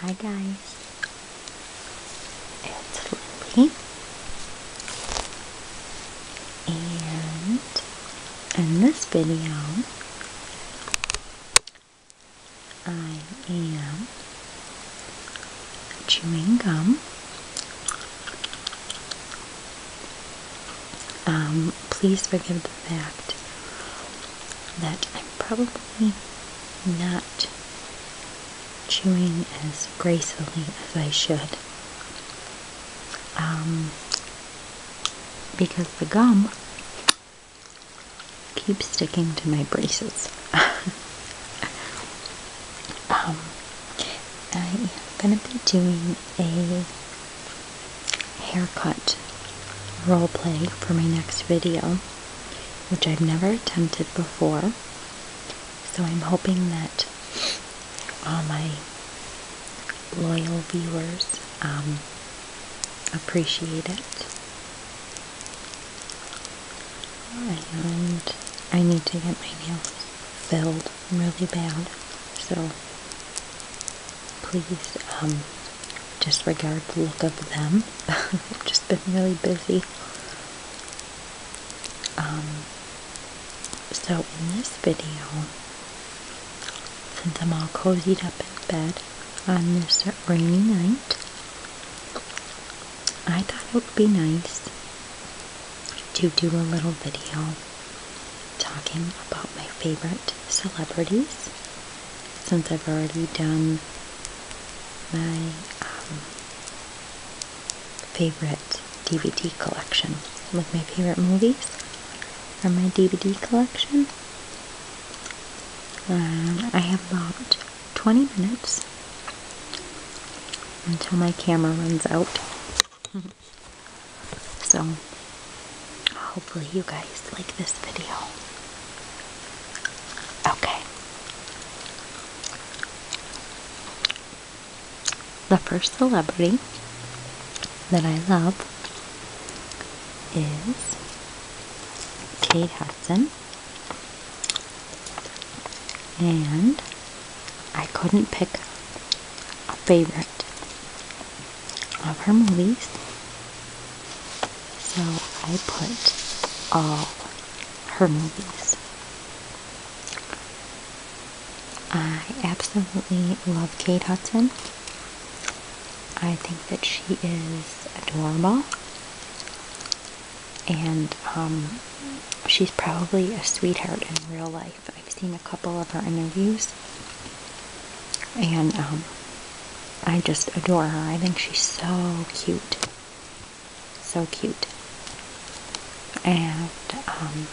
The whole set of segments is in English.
Hi guys, it's Lily, and in this video, I am chewing gum um, please forgive the fact that I'm probably not chewing as gracefully as I should. Um, because the gum keeps sticking to my braces. Um, I am going to be doing a haircut role play for my next video, which I've never attempted before. So I'm hoping that all my loyal viewers um, appreciate it. And I need to get my nails filled really bad. So please disregard um, the look of them. I've just been really busy. Um, so in this video, since I'm all cozied up in bed on this rainy night, I thought it would be nice to do a little video talking about my favorite celebrities since I've already done my um, favorite DVD collection. Like my favorite movies from my DVD collection. Um, I have about 20 minutes until my camera runs out. So, hopefully, you guys like this video. Okay. The first celebrity that I love is Kate Hudson. And I couldn't pick a favorite of her movies. So I put all her movies. I absolutely love Kate Hudson. I think that she is adorable. And um, she's probably a sweetheart in real life. I've, seen a couple of her interviews, and um, I just adore her. I think she's so cute, so cute. And um,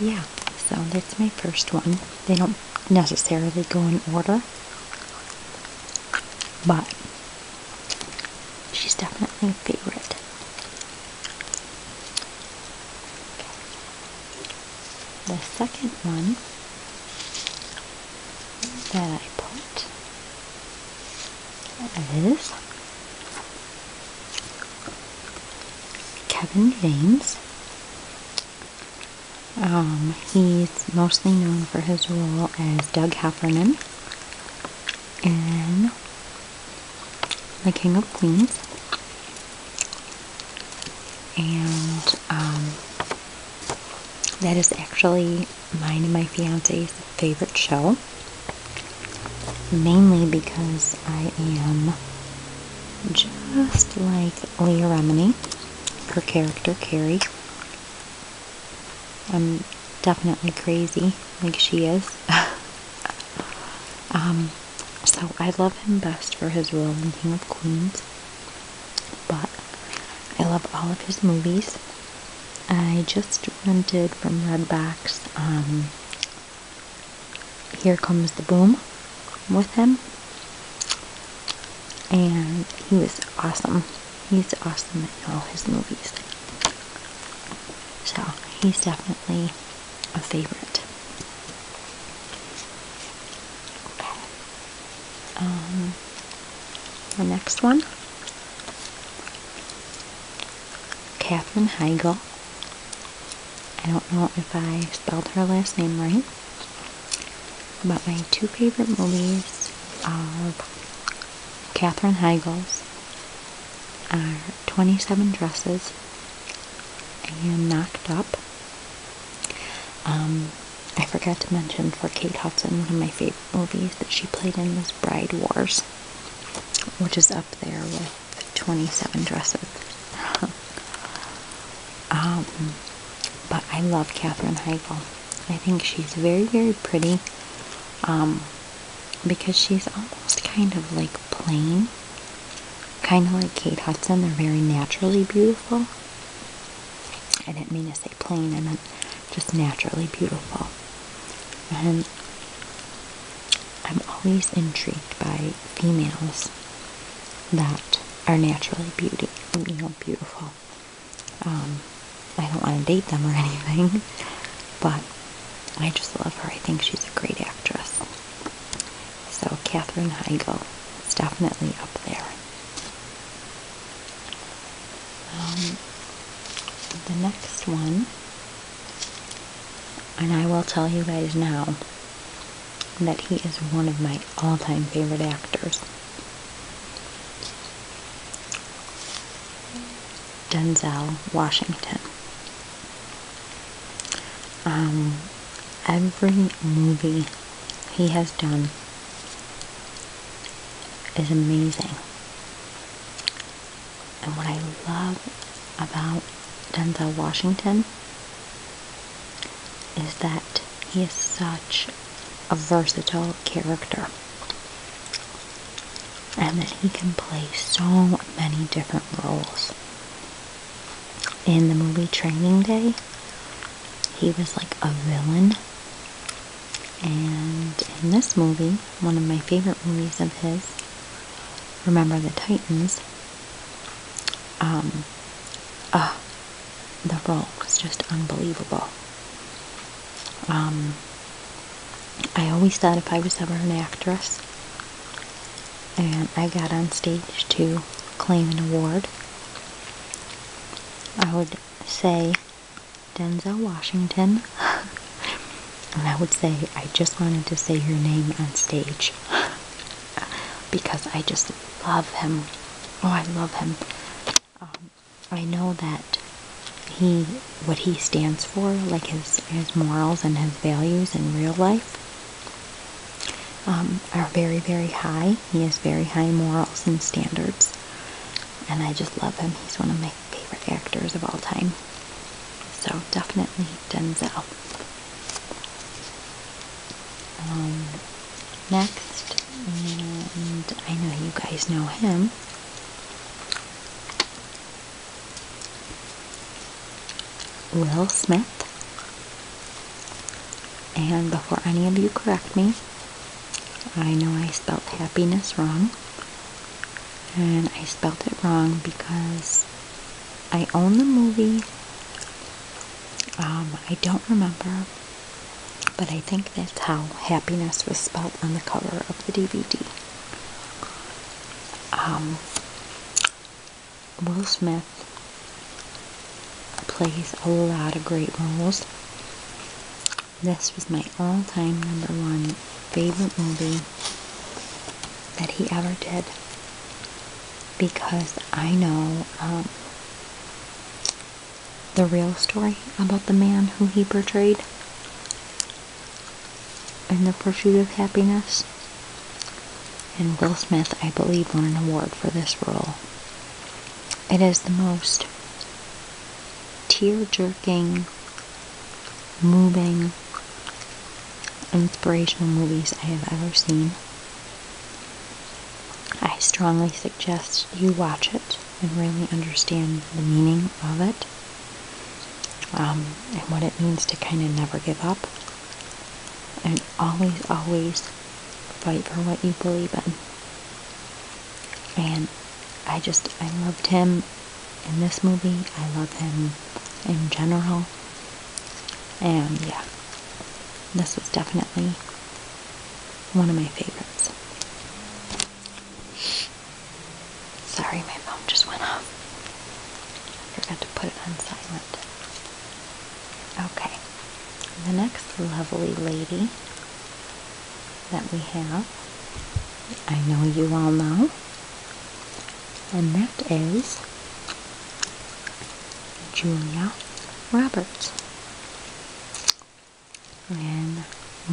yeah, so that's my first one. They don't necessarily go in order, but she's definitely a favorite the second one that I put is Kevin James. Um, he's mostly known for his role as Doug Heffernan in The King of Queens and um, that is actually mine and my fiance's favorite show mainly because I am just like Leah Remini, her character Carrie. I'm definitely crazy like she is. um, so I love him best for his role in King of Queens, but I love all of his movies. I just rented from Redbox um, Here Comes the Boom with him, and he was awesome. He's awesome in all his movies. So he's definitely a favorite. Okay. Um, the next one, Catherine Heigl. I don't know if I spelled her last name right. But my two favorite movies of Catherine Heigl's are 27 Dresses and Knocked Up. Um, I forgot to mention for Kate Hudson, one of my favorite movies that she played in was Bride Wars, which is up there with 27 Dresses. Um, but I love Katherine Heigl. I think she's very, very pretty um, because she's almost kind of like plain Kind of like Kate Hudson, they're very naturally beautiful. I didn't mean to say plain, I meant just naturally beautiful. And I'm always intrigued by females that are naturally beauty, you know, beautiful. Um, I don't want to date them or anything, but I just love her. I think she's a great actress. So Katherine Heigl is definitely up there. Um, the next one, and I will tell you guys now that he is one of my all-time favorite actors. Denzel Washington. Um, every movie he has done is amazing. And what I love about Denzel Washington is that he is such a versatile character and that he can play so many different roles in the movie Training Day. He was like a villain. And in this movie, one of my favorite movies of his, Remember the Titans, um, uh, the role was just unbelievable. Um, I always thought if I was ever an actress, and I got on stage to claim an award. I would say Denzel Washington, and I would say, I just wanted to say your name on stage because I just love him. Oh, I love him. Um, I know that he, what he stands for, like his, his morals and his values in real life, um, are very, very high. He has very high morals and standards. And I just love him. He's one of my favorite actors of all time. So definitely Denzel. Um, next, and I know you guys know him. Will Smith. And before any of you correct me, I know I spelled happiness wrong. And I spelled it wrong because I own the movie. Um, I don't remember, but I think that's how happiness was spelled on the cover of the DVD. Will Smith plays a lot of great roles. This was my all time number one favorite movie that he ever did because I know um, the real story about the man who he portrayed in the pursuit of happiness. And Will Smith, I believe, won an award for this role. It is the most tear jerking, moving, inspirational movies I have ever seen. I strongly suggest you watch it and really understand the meaning of it um, and what it means to kind of never give up. And always, always fight for what you believe in. And I just, I loved him in this movie. I love him in general. And yeah, this was definitely one of my favorites. Sorry, my phone just went off. Forgot to put it on silent. Okay. The next lovely lady that we have, I know you all know, and that is Julia Roberts. And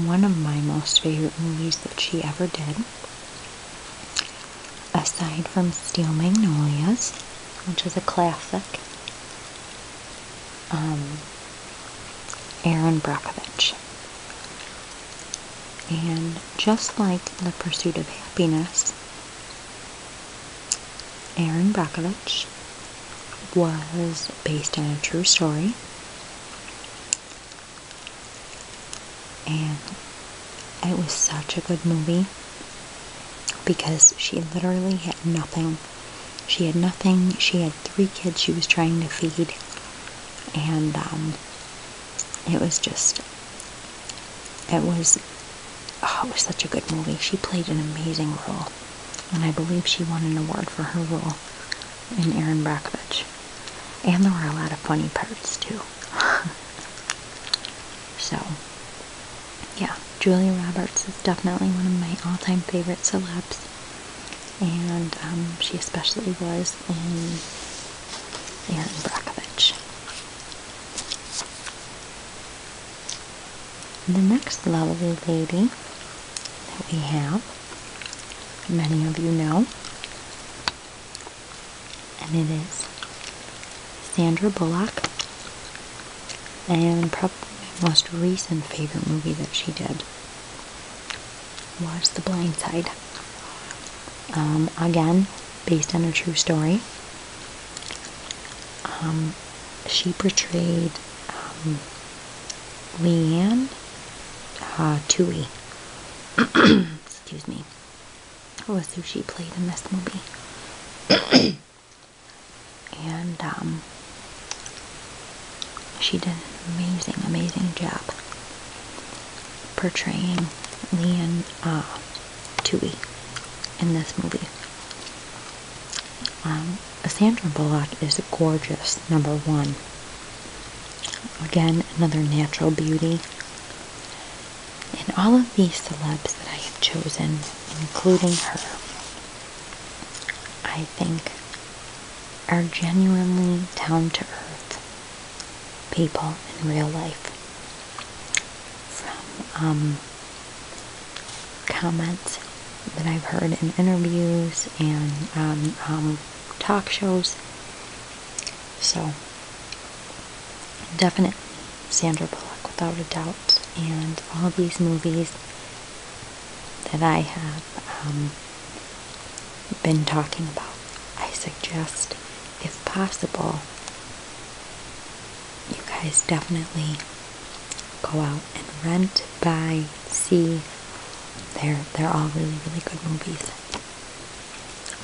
one of my most favorite movies that she ever did aside from Steel Magnolias, which is a classic, um, Aaron Brockovich. And just like The Pursuit of Happiness, Aaron Brockovich was based on a true story and it was such a good movie because she literally had nothing. She had nothing. She had three kids she was trying to feed. And um, it was just, it was, oh, it was such a good movie. She played an amazing role. And I believe she won an award for her role in Aaron Brockovich. And there were a lot of funny parts too. so, yeah, Julia Roberts is definitely one of my all time favorite celebs, and um, she especially was in Aaron Brockovich. The next lovely lady that we have, many of you know, and it is Sandra Bullock and probably my most recent favorite movie that she did was The Blind Side. Um, again, based on a true story. Um, she portrayed um, Leanne uh, Tui. Excuse me was who she played in this movie. and um, she did an amazing, amazing job portraying Leon uh, Tui in this movie. Um, Sandra Bullock is gorgeous, number one. Again, another natural beauty and all of these celebs that I have chosen, including her, I think are genuinely down to earth people in real life. From um, comments that I've heard in interviews and um, talk shows. So Definitely, Sandra Bullock, without a doubt. And all these movies that I have um, been talking about, I suggest, if possible, you guys definitely go out and rent, buy, see. They're they're all really really good movies.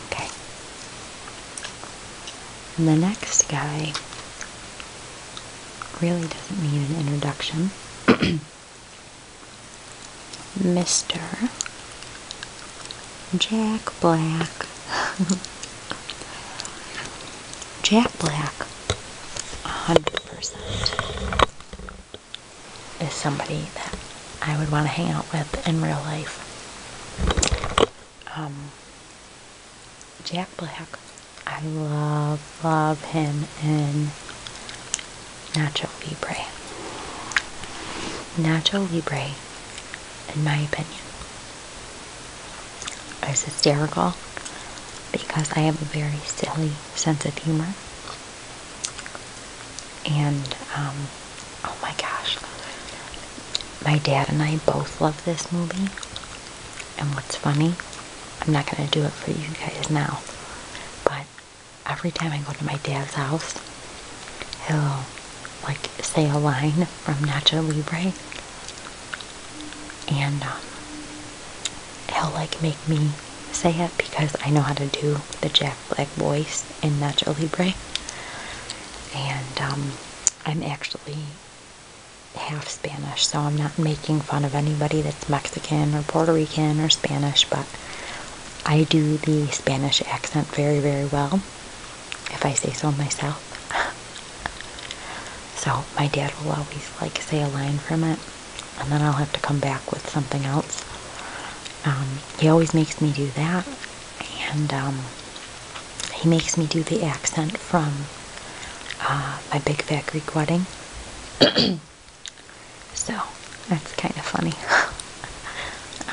Okay. the next guy really doesn't need an introduction. Mr. Jack Black. Jack Black, 100%, is somebody that I would want to hang out with in real life. Um, Jack Black. I love, love him in Natural Libre. Nacho Libre, in my opinion, is hysterical because I have a very silly sense of humor. And um, oh my gosh, my dad and I both love this movie. And what's funny, I'm not going to do it for you guys now, but every time I go to my dad's house, he'll like say a line from Nacho Libre. And um, he'll like make me say it because I know how to do the jack black voice in natural Hebrew. And um, I'm actually half Spanish, so I'm not making fun of anybody that's Mexican or Puerto Rican or Spanish, but I do the Spanish accent very, very well, if I say so myself. so my dad will always like say a line from it, and then I'll have to come back with something else. Um, he always makes me do that, and um, he makes me do the accent from uh, my Big Fat Greek Wedding. so that's kind of funny.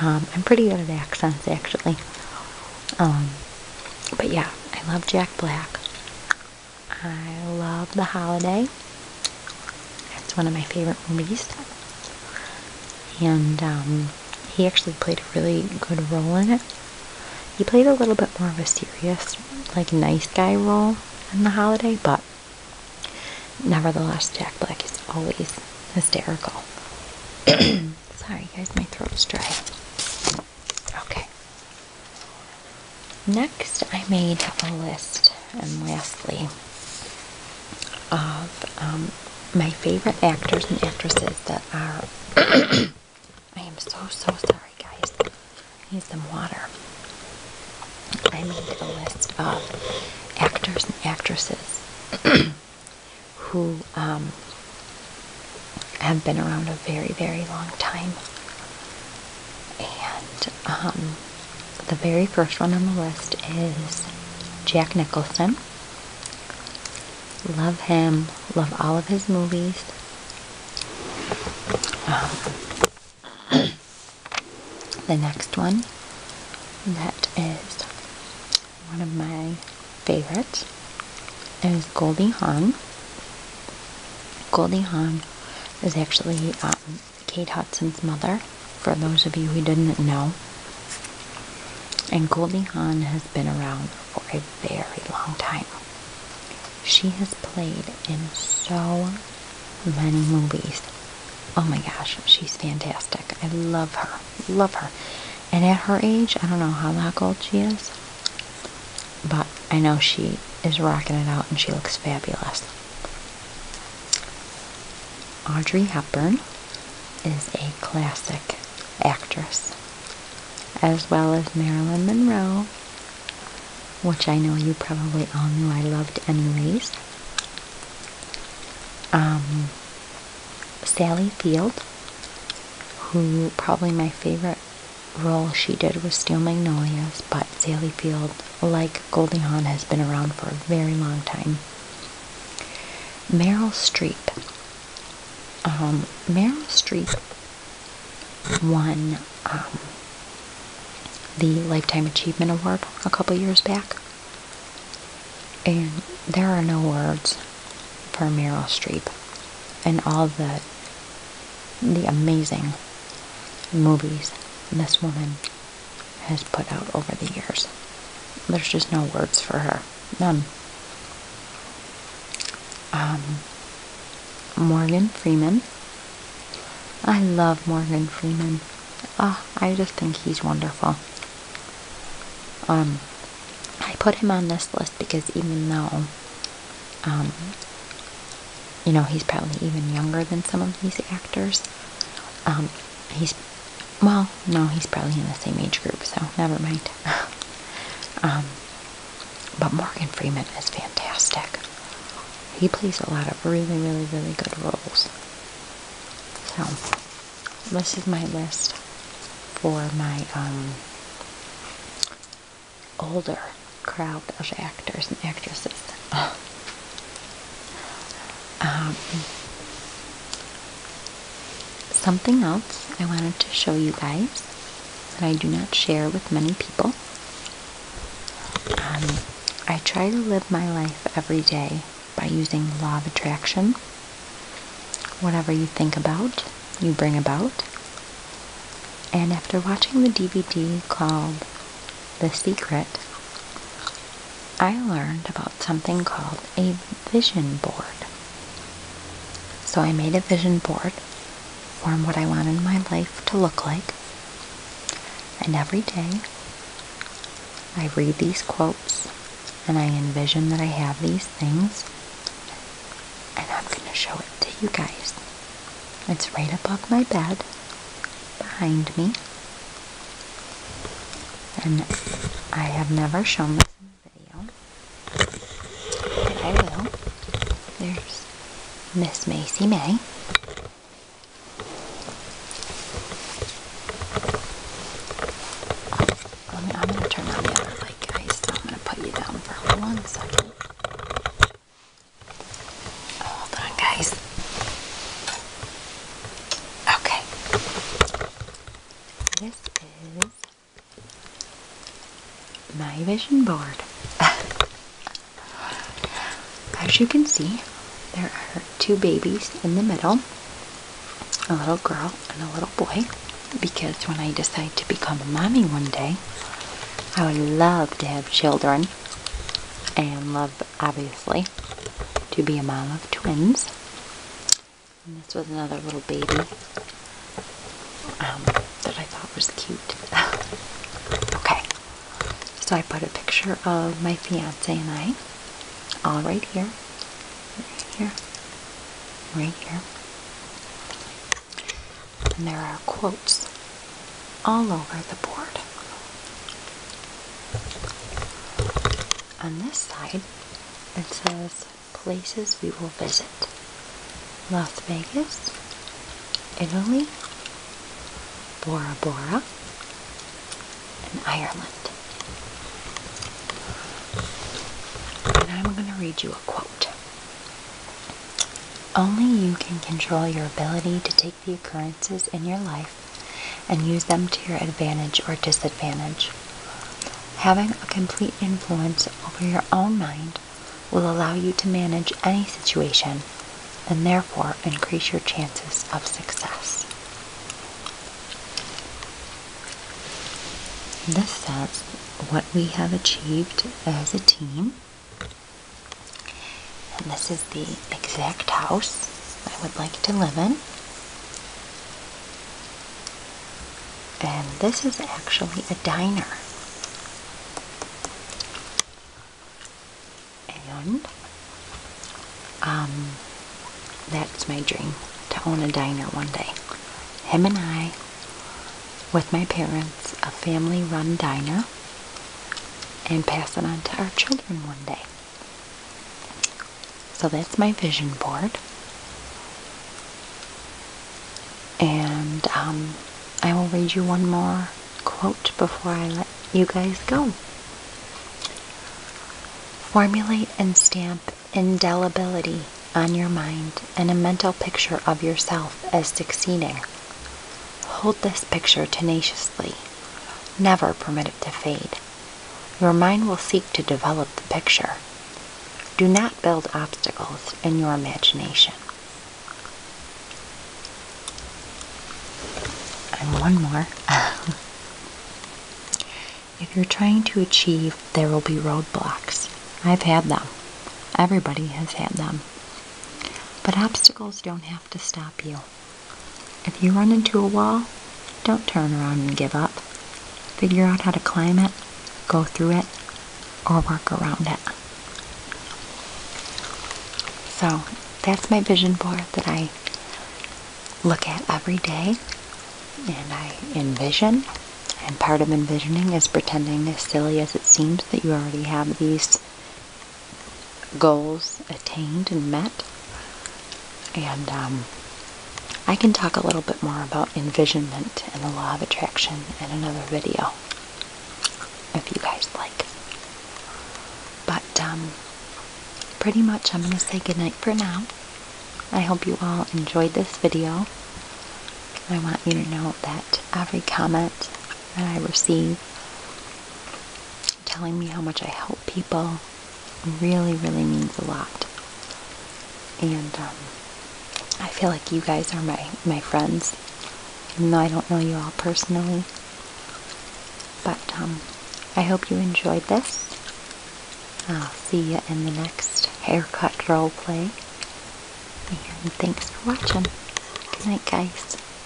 Um, I'm pretty good at accents, actually. but yeah, I love Jack Black. I love the holiday. That's one of my favorite movies. And um, he actually played a really good role in it. He played a little bit more of a serious, like, nice guy role in The Holiday, but nevertheless, Jack Black is always hysterical. Sorry, guys, my throat's dry. Okay. Next, I made a list, and lastly, of um, my favorite actors and actresses that are. I am so, so sorry, guys. I need some water. I need a list of actors and actresses who um, have been around a very, very long time. And um, the very first one on the list is Jack Nicholson. Love him. Love all of his movies. Um, the next one that is one of my favorites is Goldie Hawn. Goldie Hawn is actually um, Kate Hudson's mother, for those of you who didn't know. And Goldie Hawn has been around for a very long time. She has played in so many movies. Oh my gosh, she's fantastic. I love her. Love her. And at her age, I don't know how old she is, but I know she is rocking it out and she looks fabulous. Audrey Hepburn is a classic actress, as well as Marilyn Monroe, which I know you probably all knew I loved anyways. Um, Sally Field, who probably my favorite role she did was Steel Magnolias, but Sally Field like Goldie Hawn has been around for a very long time. Meryl Streep. Um, Meryl Streep won um, the Lifetime Achievement Award a couple years back. And there are no words for Meryl Streep and all the the amazing movies this woman has put out over the years. There's just no words for her. None. Um, Morgan Freeman. I love Morgan Freeman. Ah, I just think he's wonderful. Um, I put him on this list because even though, um, you know, he's probably even younger than some of these actors, um, he's well, no, he's probably in the same age group, so never mind. Um, but Morgan Freeman is fantastic. He plays a lot of really, really, really good roles. So, this is my list for my um, older crowd of actors and actresses. Um, something else I wanted to show you guys that I do not share with many people. Um, I try to live my life every day by using law of attraction. Whatever you think about, you bring about. And after watching the DVD called the secret I learned about something called a vision board. So I made a vision board from what I wanted my life to look like. And every day I read these quotes and I envision that I have these things. And I'm going to show it to you guys. It's right above my bed, behind me, and I have never shown this in a video. But I will. There's Miss Macy May. Um, I'm going to turn on the other light, guys. I'm going to put you down for one second. Hold on, guys. Okay. This is my vision board. As you can see, there are two babies in the middle a little girl and a little boy. Because when I decide to become a mommy one day, I would love to have children and love obviously, to be a mom of twins. And this was another little baby um, that I thought was cute. okay, so I put a picture of my fiance and I, all right here, right here, right here. And there are quotes all over the board. On this side, it says places we will visit Las Vegas, Italy, Bora Bora, and Ireland. And I'm going to read you a quote. Only you can control your ability to take the occurrences in your life and use them to your advantage or disadvantage. Having a complete influence over your own mind will allow you to manage any situation and therefore increase your chances of success. This says what we have achieved as a team and this is the exact house I would like to live in. And this is actually a diner. And um, that's my dream to own a diner one day. Him and I, with my parents, a family run diner, and pass it on to our children one day. So that's my vision board. And um, I will read you one more quote before I let you guys go. Formulate and stamp indelibility on your mind and a mental picture of yourself as succeeding. Hold this picture tenaciously. Never permit it to fade. Your mind will seek to develop the picture. Do not build obstacles in your imagination. And one more. if you're trying to achieve, there will be roadblocks. I've had them. Everybody has had them. But obstacles don't have to stop you. If you run into a wall, don't turn around and give up. Figure out how to climb it, go through it, or work around it. So that's my vision board that I look at every day and I envision. And part of envisioning is pretending, as silly as it seems, that you already have these goals attained and met. And um, I can talk a little bit more about envisionment and the law of attraction in another video if you guys like. But um, pretty much I'm going to say goodnight for now. I hope you all enjoyed this video. I want you to know that every comment that I receive telling me how much I help people really, really means a lot. And um, I feel like you guys are my, my friends, even though I don't know you all personally. But um, I hope you enjoyed this. I'll see you in the next haircut role play. And thanks for watching. Good night, guys.